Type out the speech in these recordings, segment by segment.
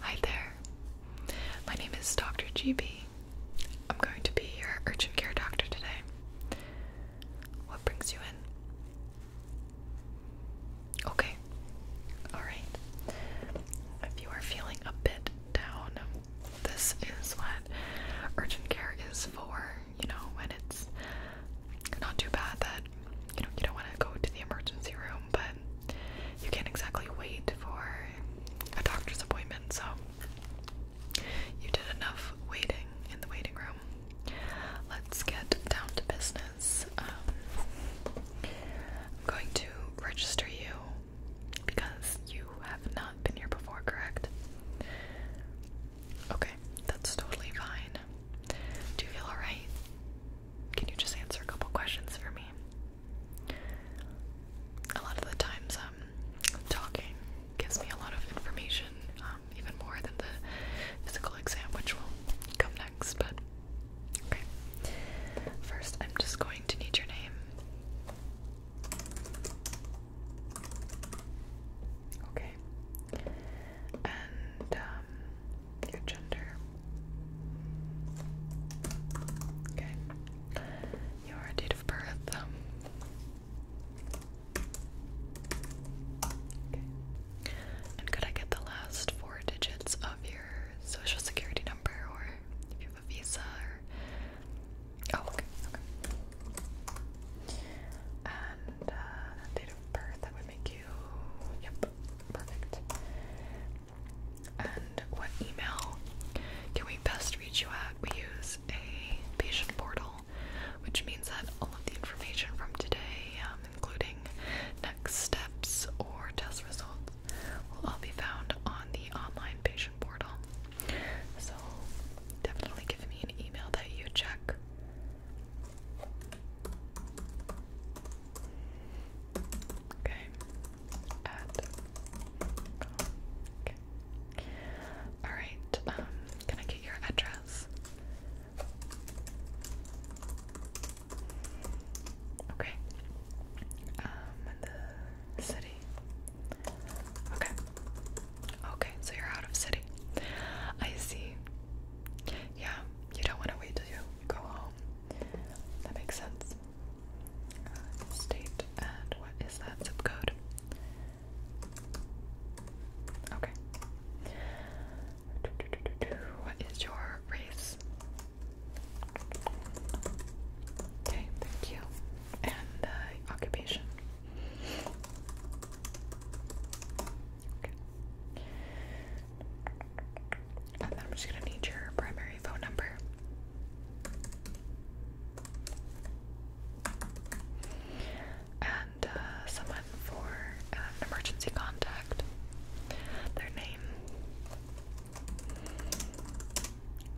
Hi there. My name is Dr. GB. I'm going to be your urgent care doctor today. What brings you in? Okay. Alright. If you are feeling a bit down, this is what urgent care is for, you know, when it's not too bad that you know you don't want to go to the emergency room, but you can't exactly wait for a doctor's appointment. So you did enough waiting in the waiting room. Let's get down to business. Um, I'm going to register you because you have not been here before, correct? Okay, that's totally fine. Do you feel alright? Can you just answer a couple questions for me? A lot of the times, um, talking gives me a lot of information, um, even more than the physical exam, which will come next. But first, I'm just going to need your name. Okay, and um, your gender. Okay. Your date of birth. Um, okay. And could I get the last four digits of your social security number or if you have a visa or Oh, okay, okay. And uh, date of birth, would make you. Yep, perfect. And what email can we best reach you at? We use a patient portal, which means that all of the information from today, um, including next steps or test results, will all be found on the online patient portal. So definitely give me an email that you check Okay. Add. All right. Um, can I get your address? Okay. Um, the city. Okay. Okay, so you're out of city. I see. Yeah, you don't want to wait till you go home that makes sense. Uh, state and what is that zip code? Okay. What is your race? Okay, thank you. And uh, occupation. Okay. And then I'm just gonna need your primary phone number. And uh, someone for an emergency contact. Their name.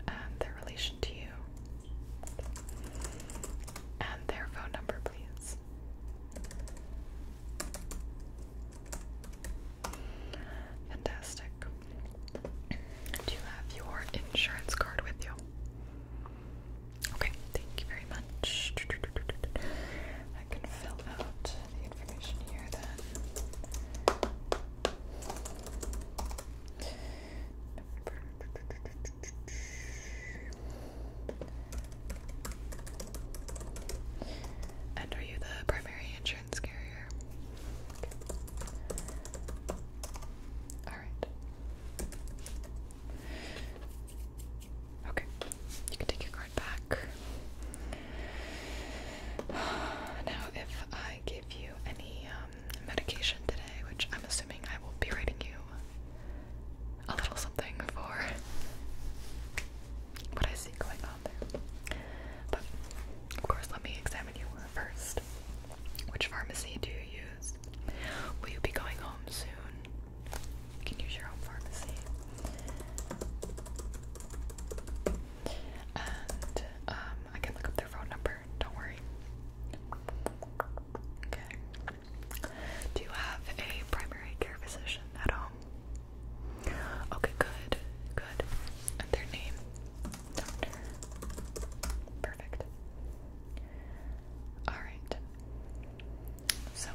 And their relation to you. And their phone number, please. Fantastic. Do you have your insurance card with you? Okay, thank you very much. I can fill out the information here then. And are you the primary insurance carrier? Alright. Okay, you can take your card back. Now, if I give you any um, medication today, which I'm assuming I will be writing you a little something for, what I see going on there. But of course, let me examine you first. Which pharmacy do you use? Will you be going home soon? can use your own pharmacy. And um, I can look up their phone number, don't worry. Okay. Do you have a primary care physician at home? Okay, good, good. And their name? Perfect. Alright. So,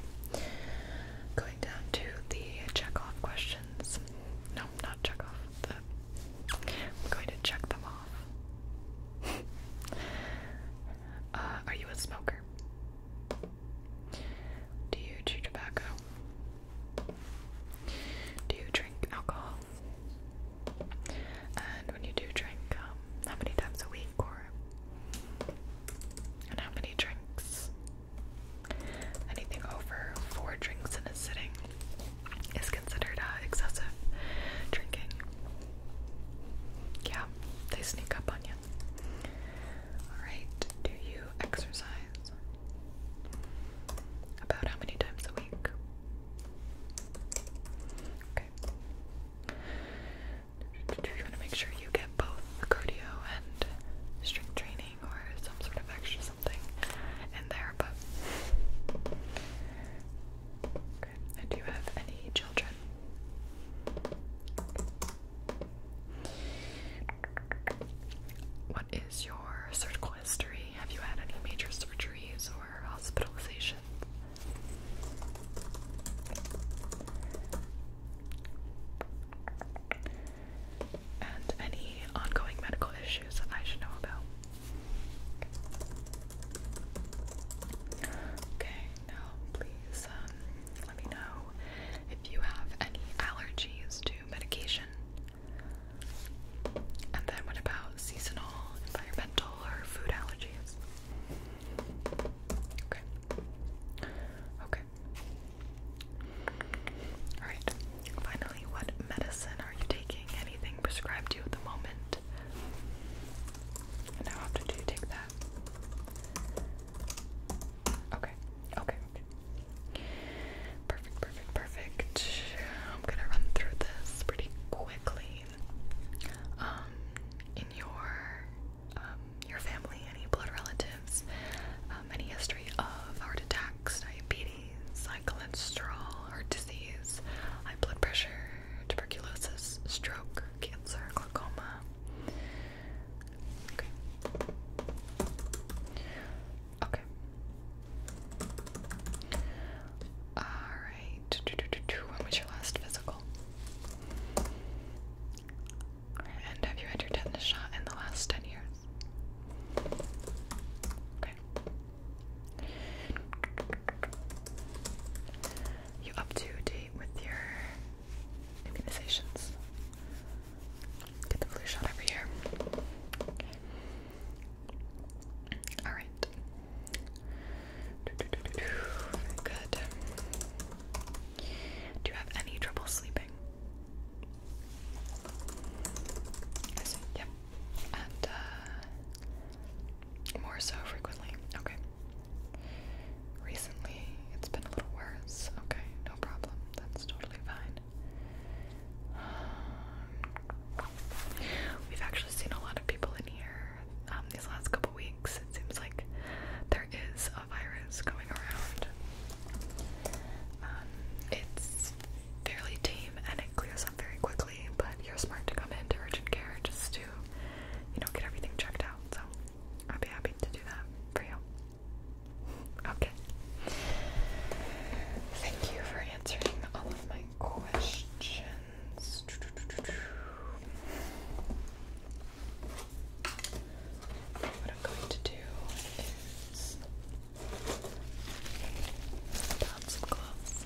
going down to the check-off questions. No, not check-off. I'm going to check them off. Uh, are you a smoker? Do you chew tobacco? Do you drink alcohol? And when you do drink, um, how many times a week or and how many drinks? Anything over four drinks in a sitting is considered uh, excessive drinking. Yeah, they sneak up on you. Alright, do you exercise? About how many times a week? Okay. Do you want to make sure you get both cardio and strength training or some sort of extra something in there? But okay. do you have any children? What is your surgical history? Have you had any major surgeries or hospitalizations? And any ongoing medical issues that I should know about? Okay, now please um, let me know if you have any allergies to medication. And then what about seasonal, environmental, or food allergies? Okay. Okay. Alright. Finally, what medicine are you taking? Anything prescribed you at the moment? And how often do you take that? Okay, okay, Perfect, perfect, perfect. I'm gonna run through this pretty quickly. Um, in your um, your family, any blood relatives, um, any history of heart attacks, diabetes, high cholesterol, heart disease, high blood pressure, tuberculosis, stroke, cancer, glaucoma, Okay. Okay. Alright. When was your last physical? And have you had your tetanus shot in the last 10 years? Okay. You up to date with your immunizations? Get the flu shot every year. Alright. Good. Do you have any trouble sleeping? yep. And, uh, more so frequently. Okay. Recently, it's been a little worse. Okay no problem. That's totally fine. we've actually seen a lot of people in here um, these last couple weeks. It seems like there is a virus going around. Um, it's fairly tame and it clears up very quickly, but you're smart to come in to urgent care just to, you know, get everything checked out. So I'd be happy to do that for you. Okay. Thank you for answering all of my questions. What I'm going to do is put on some gloves.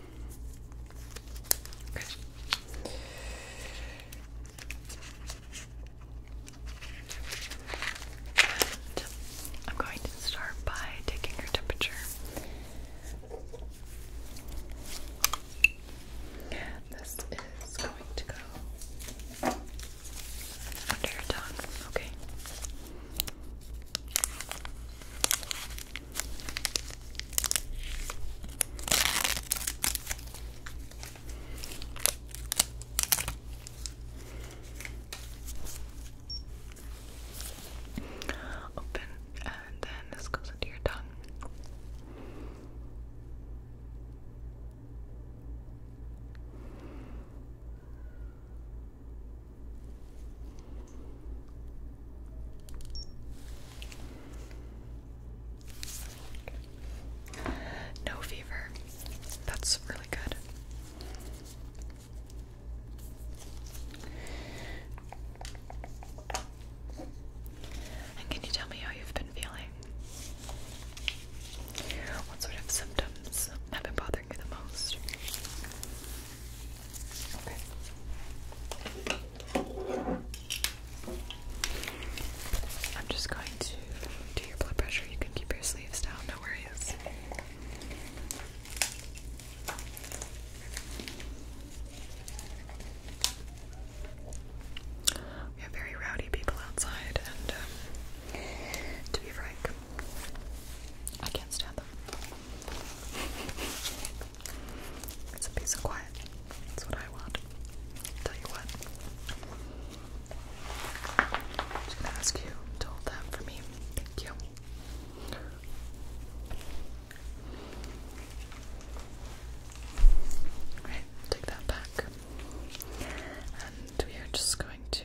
I'm going to start by taking your temperature. This is going to go under your tongue, okay? Open and then this goes into your tongue. No fever. That's really good. And can you tell me how you've been feeling? What sort of symptoms have been bothering you the most? I'm just going to do your blood pressure. You can keep your sleeves down, no worries. We have very rowdy people outside, and um, to be frank, I can't stand them. It's a piece of quiet. That's what I want. Tell you what. I'm gonna ask you to hold that for me. Thank you. Alright, take that back. And we are just going to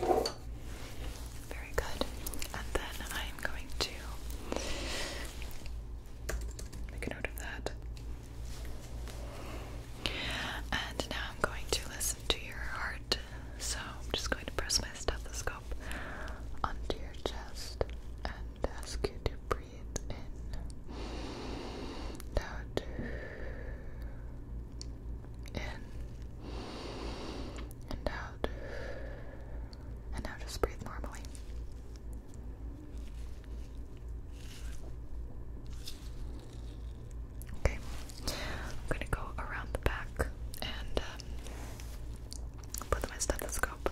Very good. And then I'm going to make a note of that. And now I'm going to listen to your heart. So I'm just going to press my stethoscope onto your chest and ask you to breathe in. Out in and out. And now just breathe normally. Okay, I'm gonna go around the back and um, put my stethoscope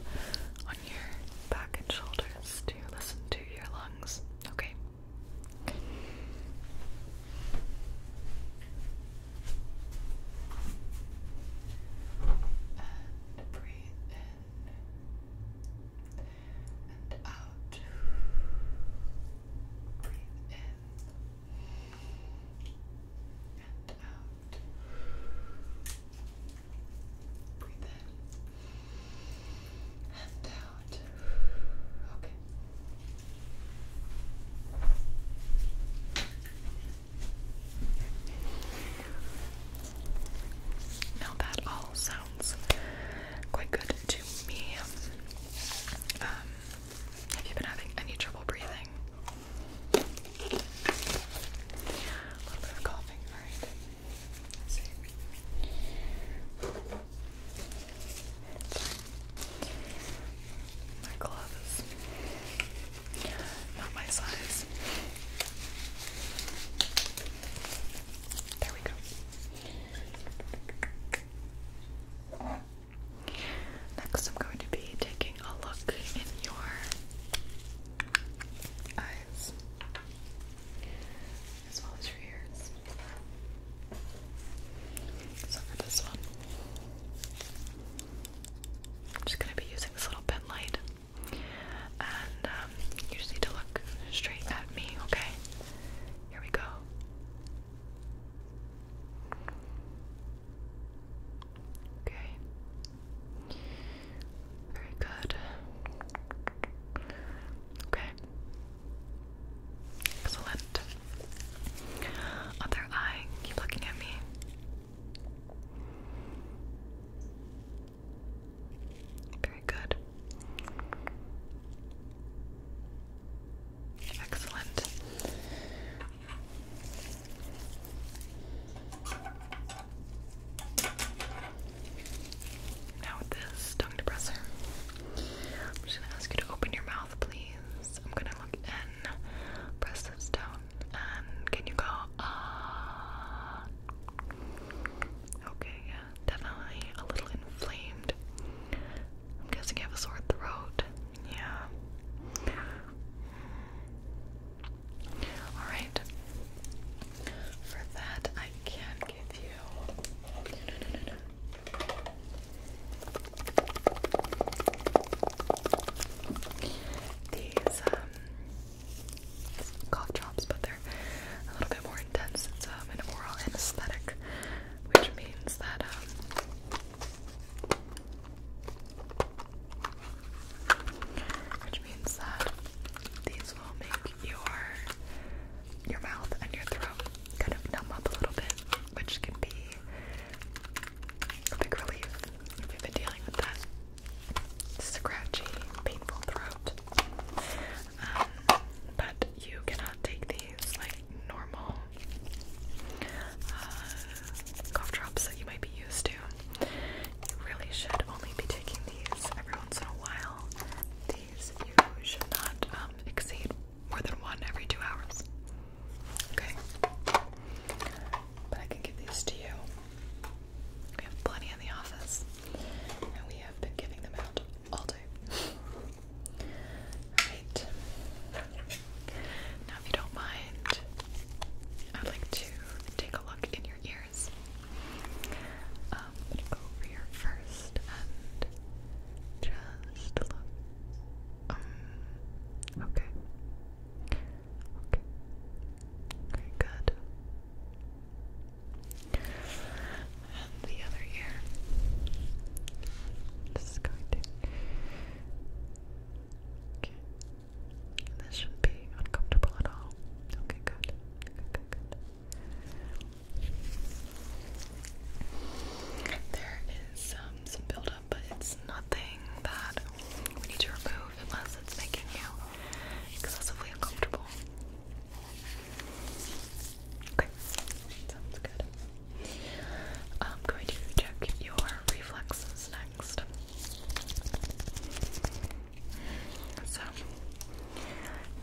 on your back and shoulders to listen to your lungs. Okay, and breathe in and out. Breathe in and out. Breathe in and out out. Okay. Now that all sounds quite good to me. Um, have you been having any trouble breathing? A little bit of coughing, alright. My glove is not my size. There we go. Next, I'm going to be taking a look in your eyes as your ears. So for this one, I'm just going to be using this little pen light. And um, you just need to look straight at me, okay? Here we go. Okay. Very good. Okay. Excellent. Other eye, keep looking at me. Very good. Excellent. Now this tongue depressor. I'm just gonna ask you to open your mouth, please. I'm gonna look in, press this down, and can you go? Uh, okay, yeah, definitely a little inflamed. I'm guessing you have a sore throat. Yeah. Alright. For that, I can give you. These um, cough drops, but they're a little bit more intense. It's um, an oral anesthetic, which means that um, which means that these will make your your mouth and your throat kind of numb up a little bit, which can be a big relief if you've been dealing with that scratchy, painful throat. Um, but you cannot take these like normal uh, cough drops that you might be used to. You really should only be taking these every once in a while. These you should not um, exceed more than one every two hours. Okay. But I can give these to you. We have plenty in the office, and we have been giving them out all day. Alright. Now, if you don't mind, I'd like to take a look in your ears. Um, go over your first rest and just look. Um, okay. Okay. Okay, good. And the other ear. This is going to. Okay. This shouldn't be uncomfortable at all. Okay, Good, good, good. There is um, some buildup, but it's nothing that we need to remove unless it's making you excessively uncomfortable. Okay, sounds good. I'm going to check your reflexes next. So,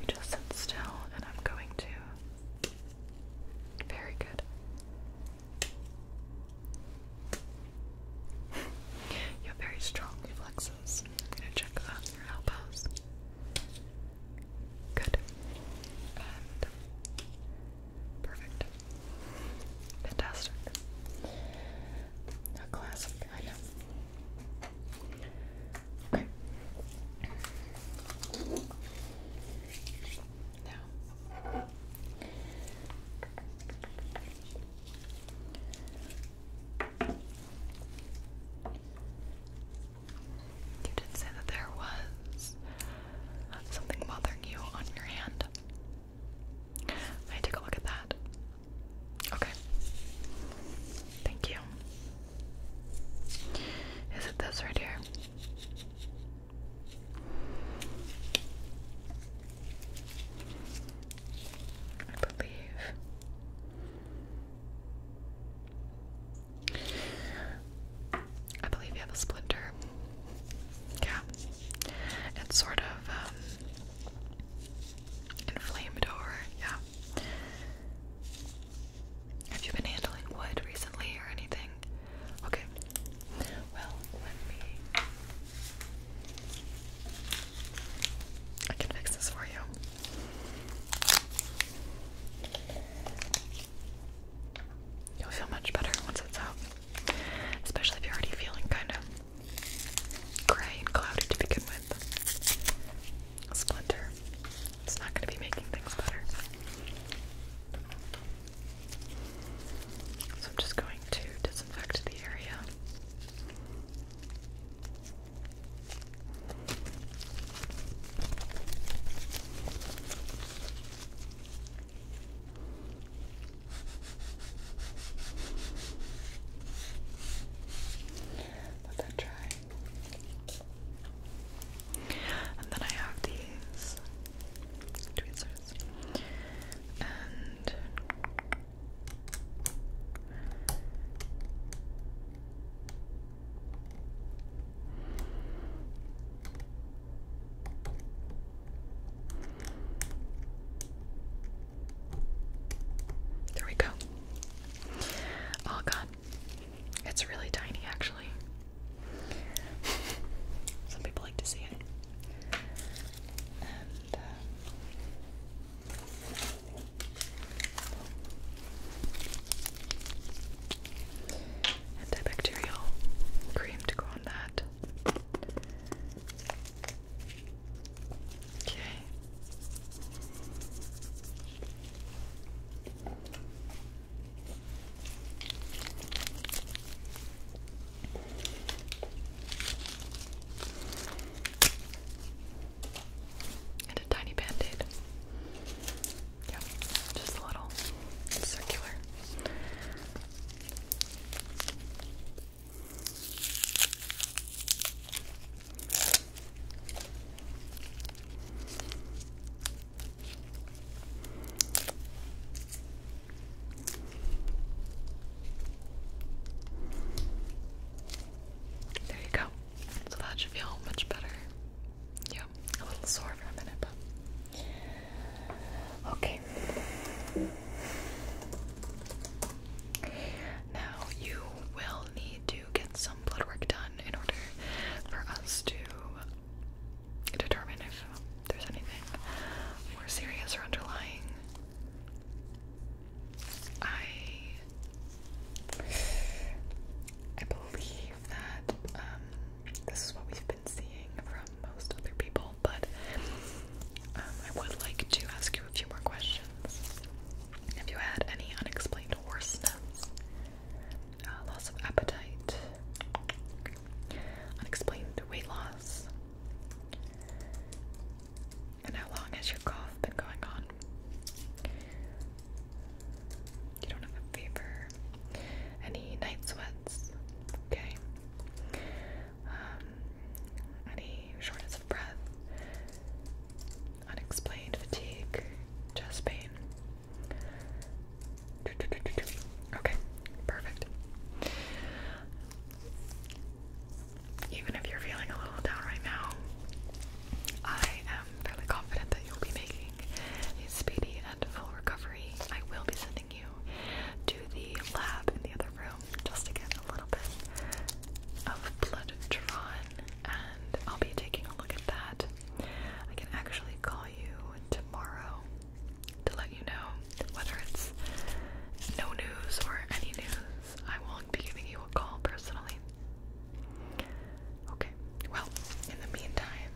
you just sit still, and I'm going to very good. you have very strong reflexes. I'm gonna check out your elbows. Good. And perfect. Fantastic. A classic, I know. Okay. you did say that there was something bothering you on your hand. I take a look at that. Okay. Thank you. Is it this right here? I believe. I believe you have a splinter. Yeah. It's sort of um, inflamed over, yeah. Have you been handling wood recently or anything? Okay. Well, let me. I can fix this for you. You'll feel much better once it's out. Especially if you're already feeling kind of gray and cloudy to begin with splinter. It's not going to be making things better. So I'm just going to disinfect the area. Let that dry. And then I have these tweezers. And there we go. All gone. It's really tiny, actually. Some people like to see it. Uh, antibacterial cream to go on that. Okay. And a tiny band aid. Yep, just a little circular. There you go. So that should feel much better. Yeah, a little sore for a minute, but okay. Now you will need to get some some um, done in order for us to determine if there's anything more serious or underlying. I I believe that um, this is what we've been seeing from most other people, but um, I would like to ask you a few more questions. Have you had any unexplained hoarseness? Uh, loss of appetite, unexplained weight loss. And how long has your cough been going on? You don't have a fever. Any night sweats? Okay. Um, any shortness of breath? Unexplained fatigue? Chest pain? Okay, perfect. Even if you're feeling a little down right now, I am fairly confident that you'll be making a speedy and full recovery. I will be sending you to the lab in the other room just to get a little bit of blood drawn, and I'll be taking a look at that I can actually call you tomorrow to let you know whether it's no news or any news. I won't be giving you a call personally. Okay, well, in the meantime,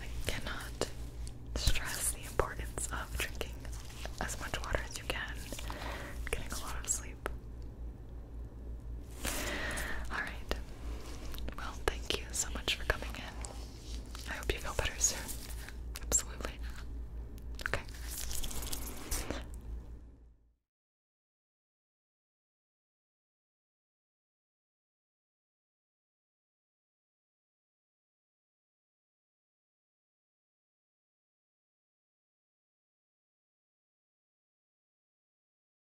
I cannot stress the importance of drinking as much water as you can, getting a lot of sleep. Alright. Well, thank you so much for coming in. I hope you feel better soon. Absolutely. Okay.